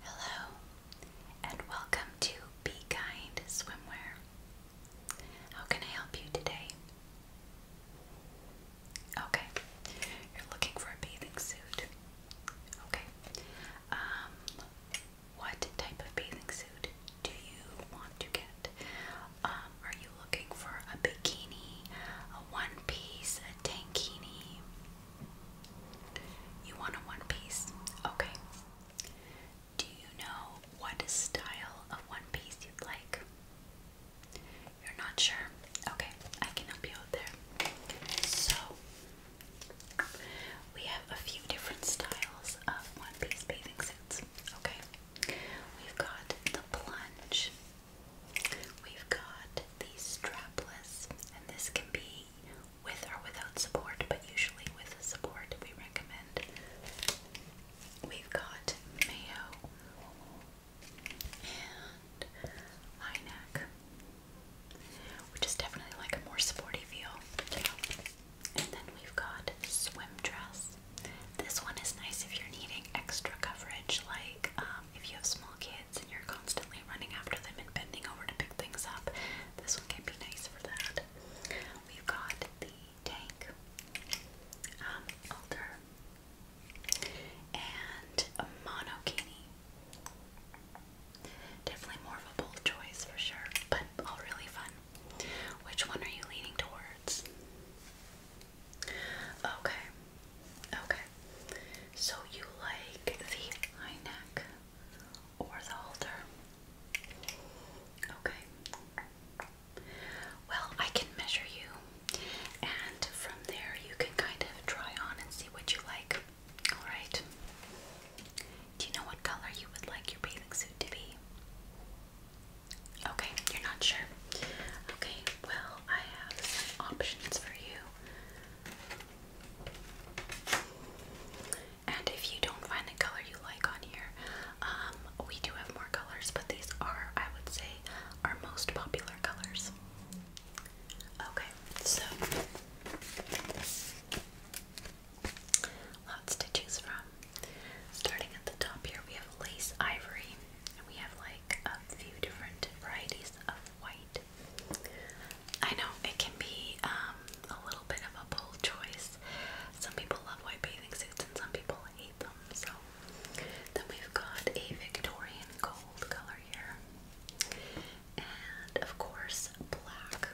Hello, and welcome to Be Kind Swimwear. How can I help you today? Okay, you're looking for a bathing suit. Okay, um, what type of bathing suit do you want to get? Um, are you looking for a bikini, a one piece, a tankini? You want a one piece? Okay. Do you know what style of one piece you'd like? You're not sure? Okay, I can help you out there. So, we have a few different styles of one piece bathing suits. Okay, we've got the plunge, we've got the strapless, and this can be with or without support, but usually with support we recommend. We've got mayo and high neck, which is definitely like a more sporty feel. And then we've got swim dress. This one is nice if you're needing extra coverage, like um, um, if you have small kids and you're constantly running after them and bending over to pick things up, this one can be nice for that. We've got the tank, um, altar, and a monokini. Definitely more of a bold choice for sure, but all really fun. Which one are you leaning towards? Okay, okay. So you like the high neck or the halter? Okay. Well, I can measure you, and from there you can kind of try on and see what you like. Alright. Do you know what color you would like your bathing suit to be? Okay, you're not sure. Okay, well, I have some options for you. And if you don't find the color you like on here, um, we do have more colors, but these are, I would say, our most popular colors. Okay, so lots to choose from. Starting at the top here, we have lace ivory, and we have like a few different varieties of white. I know it can be um, a little bit of a bold choice. Some people love white bathing suits and some people hate them. So then we've got a Victorian gold color here. And of course, black.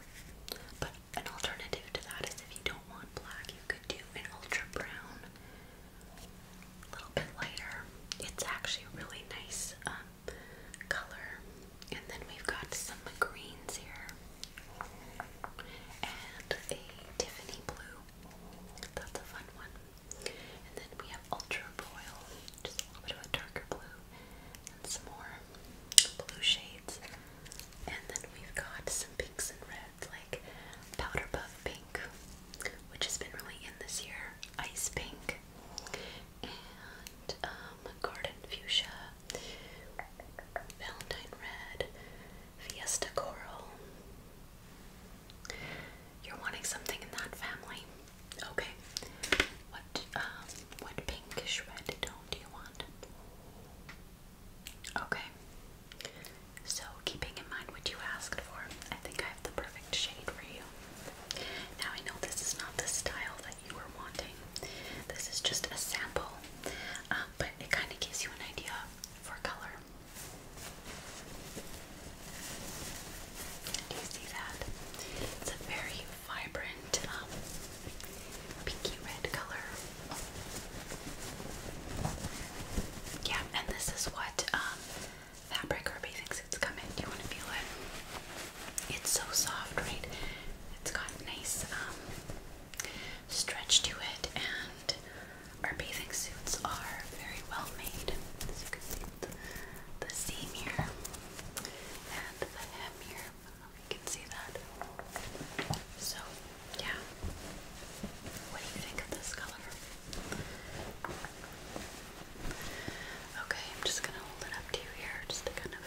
But an alternative to that is if you don't want black, you could do an ultra brown, a little lighter. It's actually really nice um, color. And then we've got some greens here. And a Tiffany blue. That's a fun one. And then we have ultra royal, just a little bit of a darker blue, and some more blue shades. And then we've got some pinks and reds, like powder puff pink, which has been really in this year, ice pink, um, garden fuchsia, valentine red, fiesta coral. You're wanting something in that family, okay? What um, what pinkish red tone do you want? Okay. So, keeping in mind what you asked for, I think I have the perfect shade for you. Now I know this is not the style that you were wanting. This is just a sample, uh, but it kind of gives you an idea for color. Do you see that? It's a very vibrant um, pinky red color. Yeah, and this is what um, fabric. Herbie thinks it's coming. Do you want to feel it? It's so soft, right? It's got nice um, stretch to it, and our bathing suits are very well made. As you can see, the, seam here and the hem here. you can see that. So, yeah. What do you think of this color? Okay, I'm just gonna hold it up to you here just to kind of.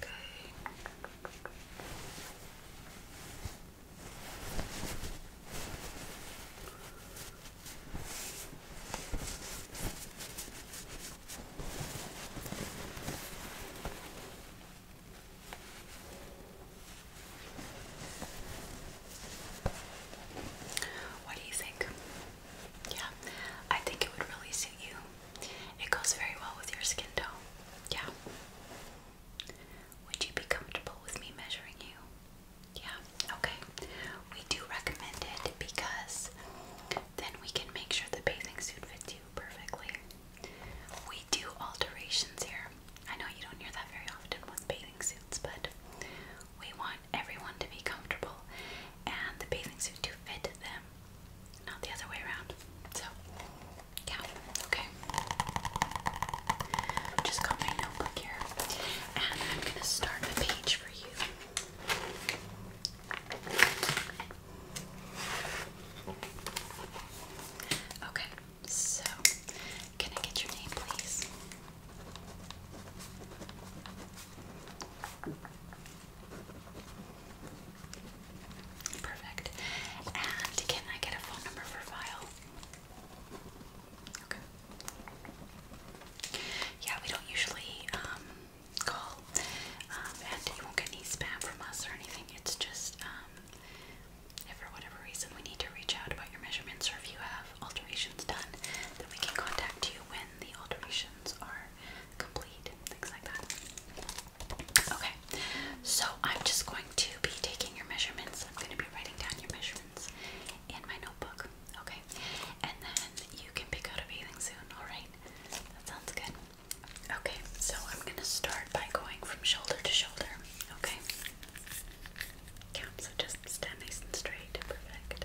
Okay. What do you think? Yeah, I think it would really suit you. It goes very well with your skin tone. Yeah. Would you be comfortable with me measuring you? Yeah, okay. We do recommend it because then we can make sure the bathing suit fits you perfectly. We do alterations here. I know you don't hear that very often with bathing suits, but we want everyone to be comfortable and the bathing suit to fit them, not the other way around. So, yeah, okay. Just got my notebook here, and I'm gonna start a page for you. Okay, so can I get your name, please? Perfect. And can I get a phone number for file? Okay. Yeah, we don't usually um, call, um, and you won't get any spam from us or anything. It's just um, if for whatever reason we need to reach out about your measurements, or if you have alterations done, then we can contact you when the alterations are complete things like that. Okay, so I'm just going to be taking your measurements. I'm going to be writing down your measurements in my notebook. Okay, and then you can pick out a bathing suit. All right, that sounds good. Okay, so I'm going to start by going from shoulder to shoulder. Okay. Yeah, so just stand nice and straight. Perfect.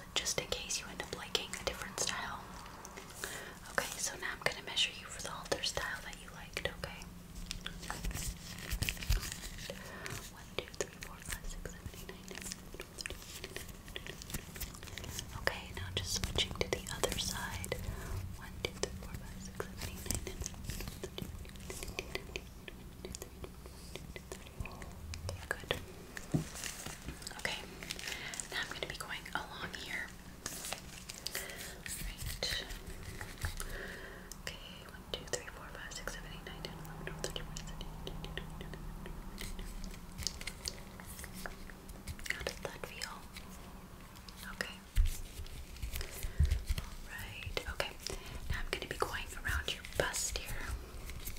just in case you end up liking a different style. Okay, so now I'm going to measure you for the halter style that you liked, okay? Right. Okay, now just switching to the other side. One, two, three, four, five, six, seven, eight, nine, ten. Good. Okay. Now I'm going to be going along here. Right. Okay. One, two, three, four, five, six, seven, eight, nine, ten, eleven, twelve, thirteen, fourteen, fifteen, sixteen. How does that feel? Okay. Alright, okay. Now I'm going to be going around your bust here.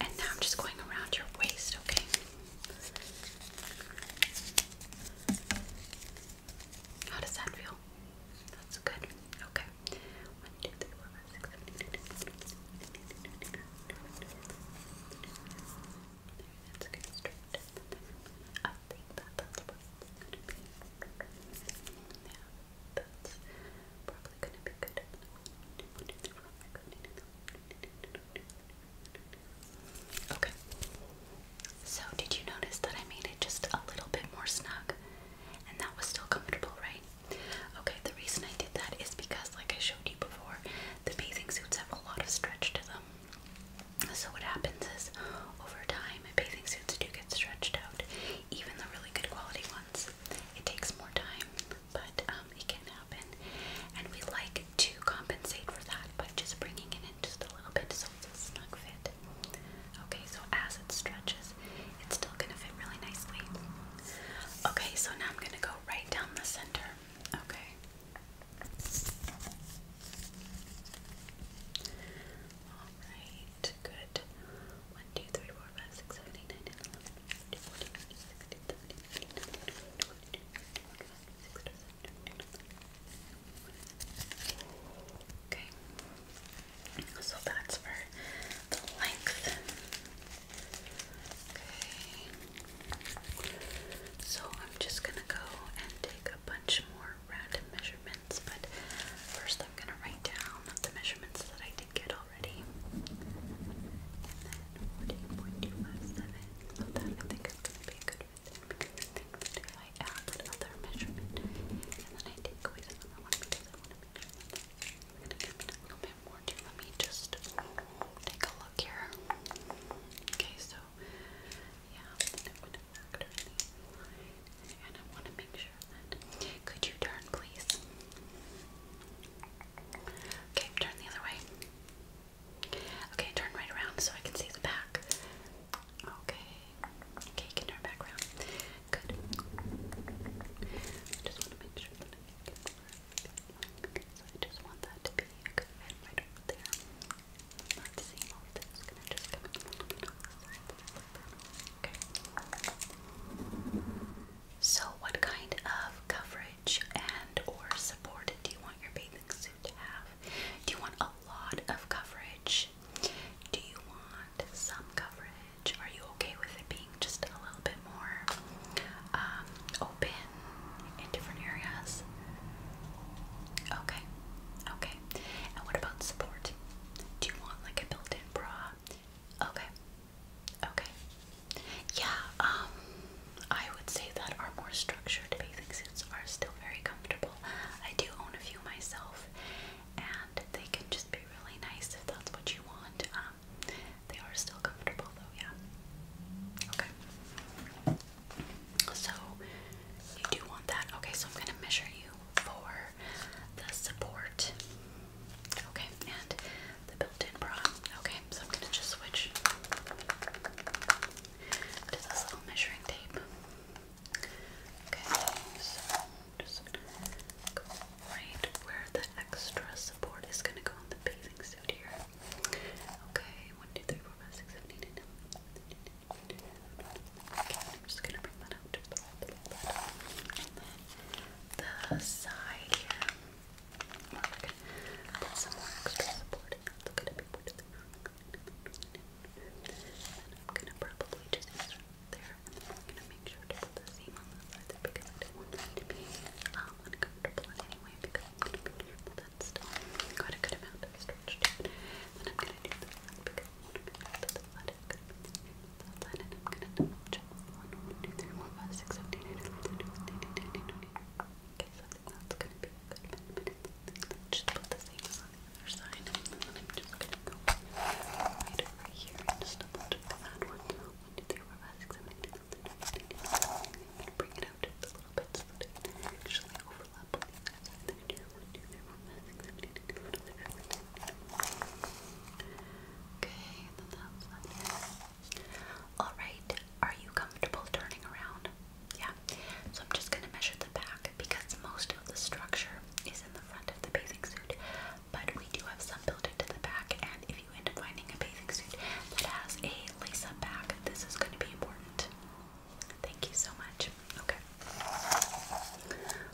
and now I'm just going around your waist, okay? How does that feel? That's good. Okay. One, two, three, four, five, six, seven, eight, nine, ten. That's good. Straight. I think that that's what gonna be. Yeah. Okay. So did you notice that I made it just a little bit more snug? And that was still comfortable, right? Okay, the reason I did that is because like I showed you before, the bathing suits have a lot of stretch to them. So what happens is over time bathing suits do get stretched out, even the really good quality ones. It takes more time, but um, it can happen. And we like to compensate for that by just bringing it in just a little bit so it's a snug fit. Okay, so as it stretches, it's still going to fit really nicely. Okay, so now I'm going to go right down the center. Okay. Alright, good. One, two, three, four, Okay, so that's for the length. Okay, so I'm just gonna go and take a bunch more random measurements but first I'm going to write down the measurements that I did get already. And then 14.257. that I think is going to be a good fit because I think that if I add measurement and then I take away want to make sure I'm going to give it a little bit more too. Let me just take a look here. Okay, so yeah, I'm going to factor in and I want to make could you turn, please? Okay, turn the other way. Okay, turn right around so I can see the back. Okay. Okay, you can turn back around. Good. just want to make sure that I just want that to be good right there. Not seeing all this. So what kind of coverage and or support do you want your bathing suit to have? Do you want a lot of coverage? Do you want some coverage? Are you okay with it being just a little bit more um, open in different areas? Okay, okay. And what about support? Do you want like a built-in bra? Okay. Okay. Yeah, um I would say that our more structured bathing suits are still very comfortable. I do own a few myself and they can just be really nice if that's what you want. Um they are still comfortable though, yeah. Okay. So you do want that. Okay, so I'm gonna measure you for the support. Okay, and the built-in bra. Okay, so I'm gonna just switch to this little measuring tape. Okay, so just go right where the extra support is gonna go on the bathing suit here. Okay, one, two, three, four, five, six, seven, eight, nine. Okay, I'm just gonna bring that out the side here. Well, we gonna put some extra support. That's gonna be pretty good. I'm gonna probably just use there. I'm gonna make sure to put the seam on the side there because I don't want it to be um, uncomfortable in because i gonna be able to that's got a good amount of stretch to Then I'm gonna do this because athletic, athletic. I'm gonna double check. One, two, three, four, five, six, seven, eight, nine, ten, Okay, so I think that's gonna be a good minute. Just put the same on the other side, and then I'm just gonna go right over here and just double check that one. One, two, three, four, five, six, seven, eight, nine, ten, eleven. I'm gonna bring it out just a little bit so that it actually overlaps on the other side. There, one, two, three, four, five, six, seven, eight. Okay, Alright, are you comfortable turning around? Yeah. So I'm just gonna measure the back because most of the structure is in the front of the bathing suit, but we do have some built into the back, and if you end up finding a bathing suit that has a lace-up back, this is gonna be important. Thank you so much. Okay.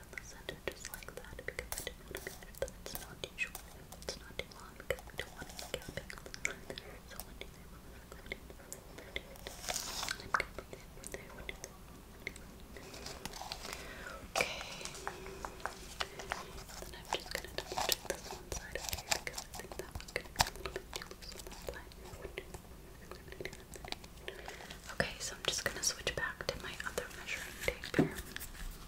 down the center just like that because I didn't want to make sure that it's not too short and it's not too long because I don't want it gapping on the line. So one day I'm going to put it in the middle. I'm going to put it in there. One day Okay. And then I'm just going to double check this one side over here because I think that one's going to be a little bit too loose on that side. Okay, so I'm just gonna switch back to my other measuring tape here.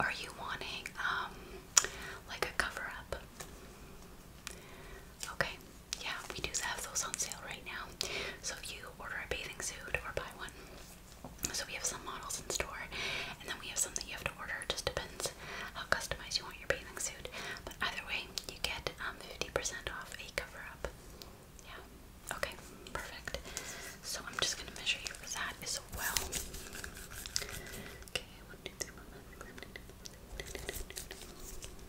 Are you wanting um like a cover up? Okay. Yeah, we do have those on sale right now. So if you order a bathing suit or buy one. So we have some models in store and then we have some that you have to order. It just depends how customized you want your bathing suit. But either way, you get um 50% off a cover up. Yeah. Okay, perfect. So I'm just gonna measure you for that. Is as well. Okay, one, two, three, four, five, six, seven, eight, nine.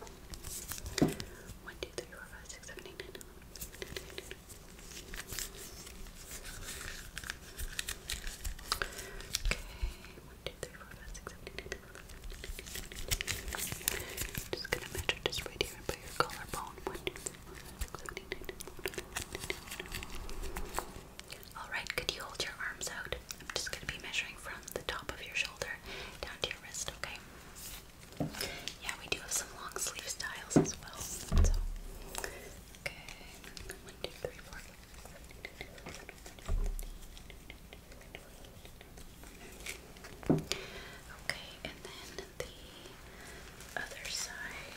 Okay, one, two, three, four, five, six, seven, eight, nine. Just gonna measure just right here and your collarbone. One, two, three. Alright, could you hold your arms out? I'm just going to be measuring from the top of your shoulder down to your wrist, okay? Yeah, we do have some long sleeve styles as well. okay. One, two, three, four. Okay, and then the other side.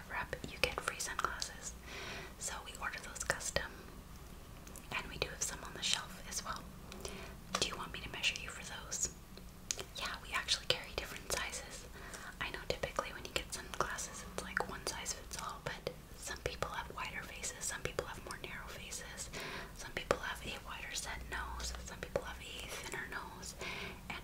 you get free sunglasses. So we order those custom, and we do have some on the shelf as well. Do you want me to measure you for those? Yeah, we actually carry different sizes. I know typically when you get sunglasses, it's like one size fits all, but some people have wider faces, some people have more narrow faces, some people have a wider set nose, some people have a thinner nose, and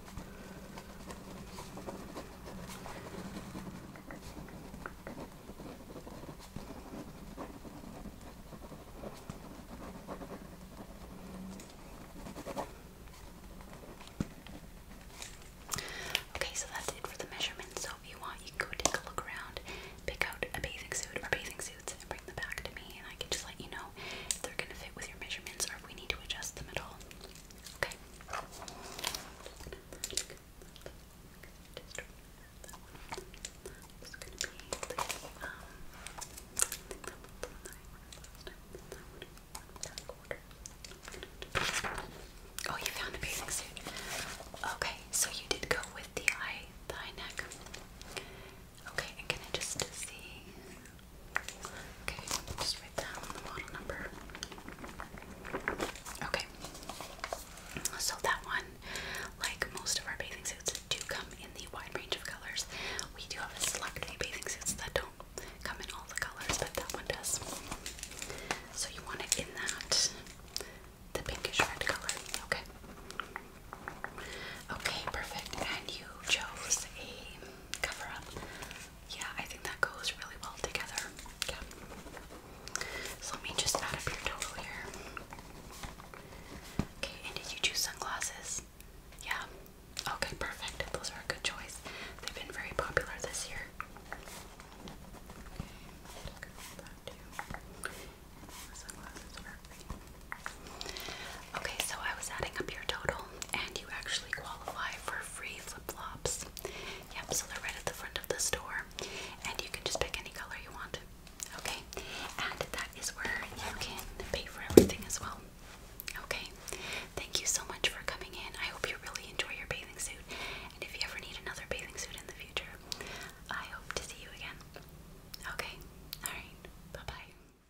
Okay, so that's it for the measurements. So if you want, you can go take a look around, pick out a bathing suit or bathing suits, and bring them back to me, and I can just let you know if they're gonna fit with your measurements or we need to adjust them at all. Okay. Oh, you found the bathing suit. Okay, so you did go with the eye, high neck. Okay, can I just see? Okay, just write down the model number. Okay, so that one, like most of our bathing suits, do come in the wide range of colors. We do have a select few bathing suits that don't come in all the colors, but that one does. So you want it in that, the pinkish red color. Okay. Okay, perfect. And you chose a cover up. Yeah, I think that goes really well together. Yeah. So let me just add up your total here. Okay, and did you choose sunglasses? Yeah. Okay, perfect. Those are a good choice. They've been very popular this year. Okay, that too. Sunglasses are great. Okay, so I was adding up your total, and you actually qualify for free flip flops. Yep, so they're right at the front of the store, and you can just pick any color you want. Okay, and that is where you can pay for everything as well. Okay, thank you so much for coming in. I hope you really enjoy your bathing suit, and if you ever need another bathing suit in the future, I hope to see you again. Okay, alright, bye bye.